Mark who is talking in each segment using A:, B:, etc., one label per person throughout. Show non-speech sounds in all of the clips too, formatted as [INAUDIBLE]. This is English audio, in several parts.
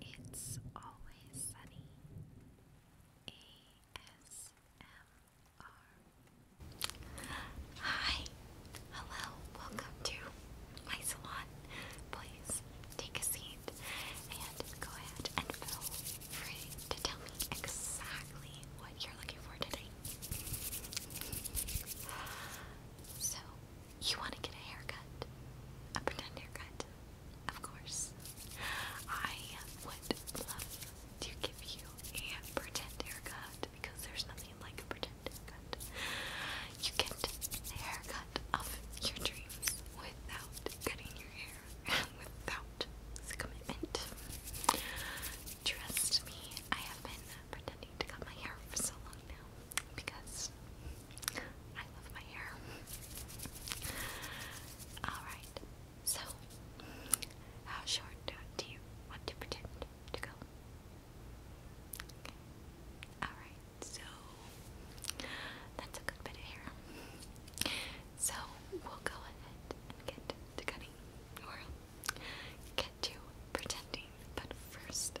A: It's Always Sunny ASMR. Hi, hello, welcome to my salon. Please take a seat and go ahead and feel free to tell me exactly what you're looking for today. So, you want to get a haircut? A pretend haircut? Of course. I would love to give you a pretend haircut because there's nothing like a pretend haircut. You get the haircut of your dreams without cutting your hair and without commitment. Trust me, I have been pretending to cut my hair for so long now because
B: I love my hair. Alright, so how short do you want to pretend to go? Alright, so
A: that's a good bit of hair. So we'll go ahead and get to cutting get to pretending. But first,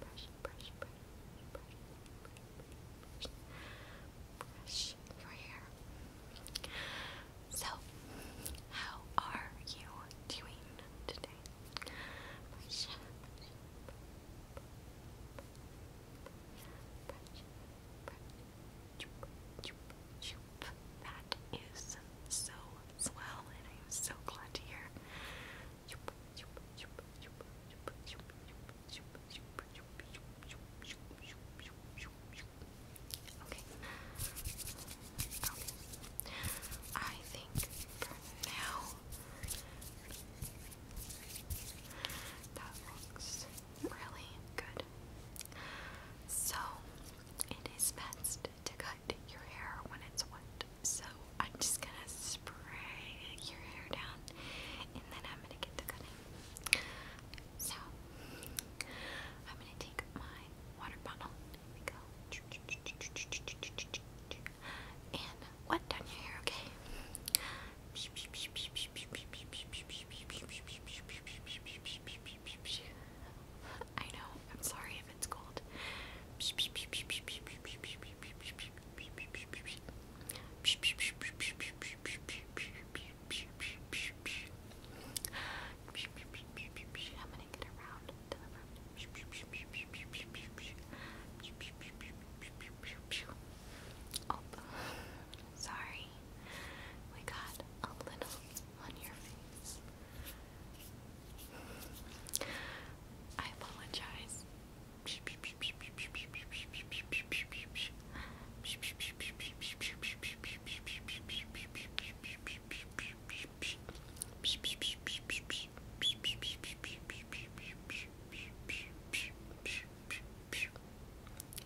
B: brush, brush, brush, brush,
A: brush, brush your hair. So, how are you doing today? That is so swell, and I am so glad to hear Okay. Okay. I think now that looks really good. So it is best to cut your hair when it's wet. So I'm just gonna spray your hair down and then I'm gonna get to cutting. So I'm gonna take my water bottle. Here we go.
B: And wet down your hair, okay? I know, I'm sorry if it's cold.
A: sorry. We got a little on your face. I apologize.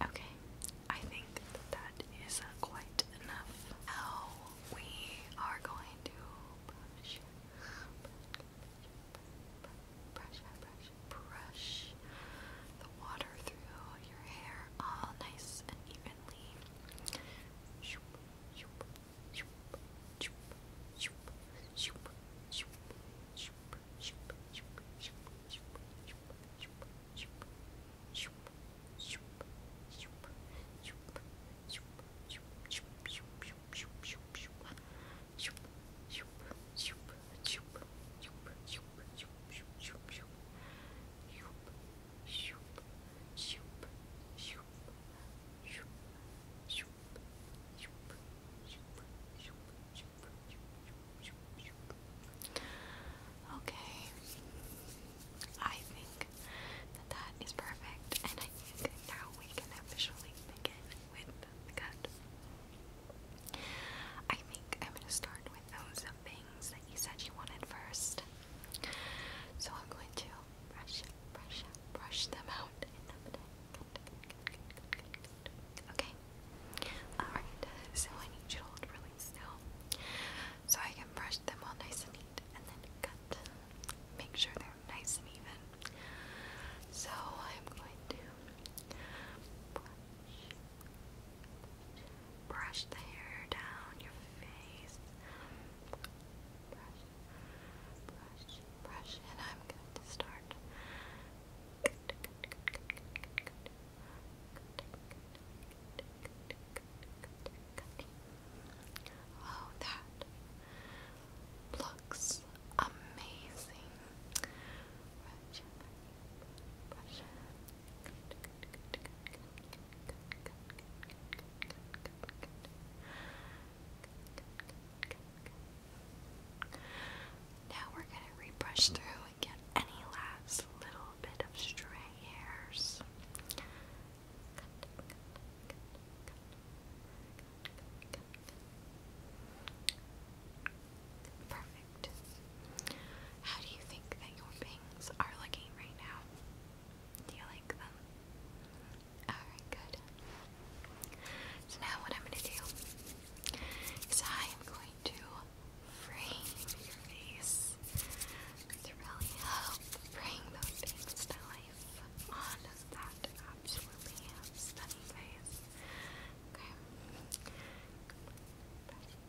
A: Okay, I think that, that is uh, quite enough. How we are going to brush, brush, brush, brush
B: the water through your hair all nice and evenly. Shoop, shoop, shoop, shoop, shoop, shoop, shoop, shoop, shoop, shoop, shoop, shoop, shoop, shoop, shoop, shoop.
A: Okay. I think that is perfect, and I think now we can officially begin with I think I'm going to start with those things that you said you wanted first. So I'm going to brush, brush, brush them out. Okay. Alright, so I need you to hold for going still. So I can brush them all nice and neat and then cut. Make sure they're nice and even. So I'm going to brush, brush the hair down your face. Brush, brush, brush, and I'm going to start. Good, good, good, good, good, good, good, good, good, good, good, good, good, good. Oh, that looks amazing. Now we're gonna rebrush through and any last little bit of stray hairs. Perfect. How do you think that your bangs are looking right now? Do you like them? Alright, good. So now what I'm going to do is I am going to frame your face to really help bring those things to life on that absolutely stunning face. Okay.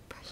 A: Brush, it.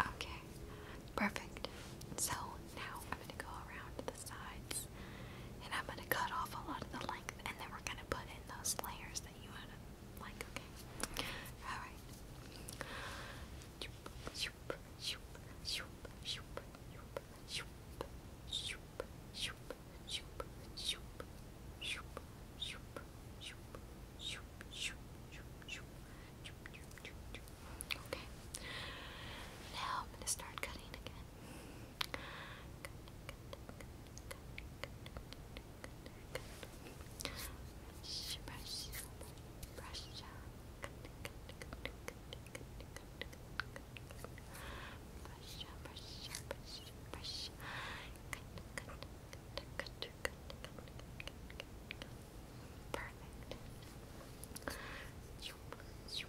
A: Okay, perfect. So now I'm going to go around sides. And I'm going to cut off a lot of the length and then we're going to put in those layers that you had. like, okay? Alright.
B: Okay.
A: Now I'm going to start cutting again. Brush, brush, brush.
B: Brush, brush, brush, brush. Perfect. Zoom, zoom,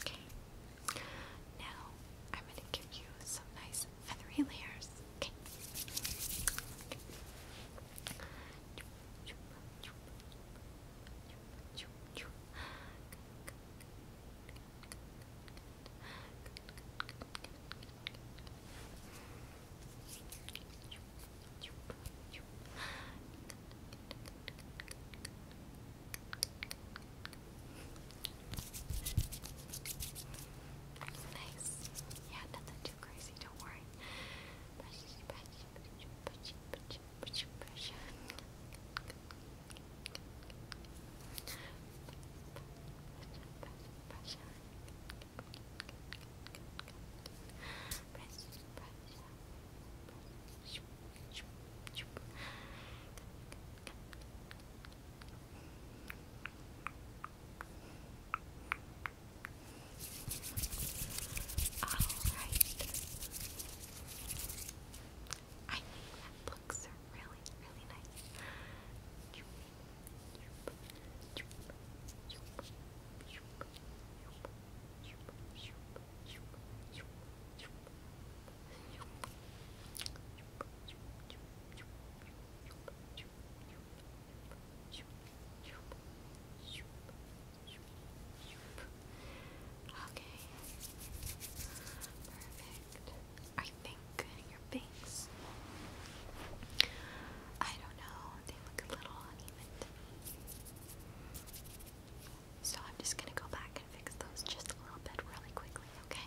B: Okay. Now
A: I'm going to give you some nice feathery layers. Okay. Nice. Yeah, nothing too crazy, don't worry. I think that looks really, really nice. Okay. Perfect. I think your bangs. I don't know. They look a little uneven So I'm just gonna go back and fix those just a little bit really quickly, okay?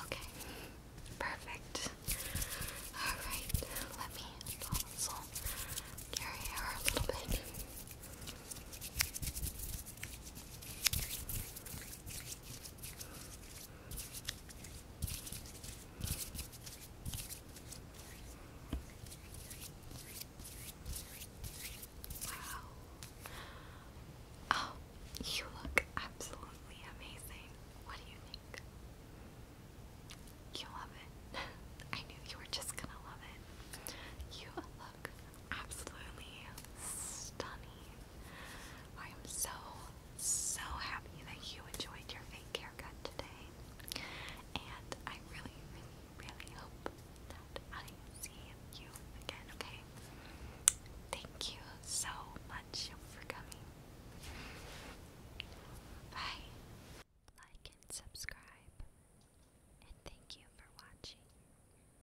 A: Okay, perfect. All right, let me also carry her a little bit. Wow. Oh, you look absolutely amazing. What do you think? You love it. [LAUGHS] I knew you were just gonna love it. You look absolutely stunning. I am so, so happy that you enjoyed your fake haircut today. And I really, really, hope that I see you again, okay? Thank you so much for coming.
B: Bye. Like and subscribe. And thank you for watching.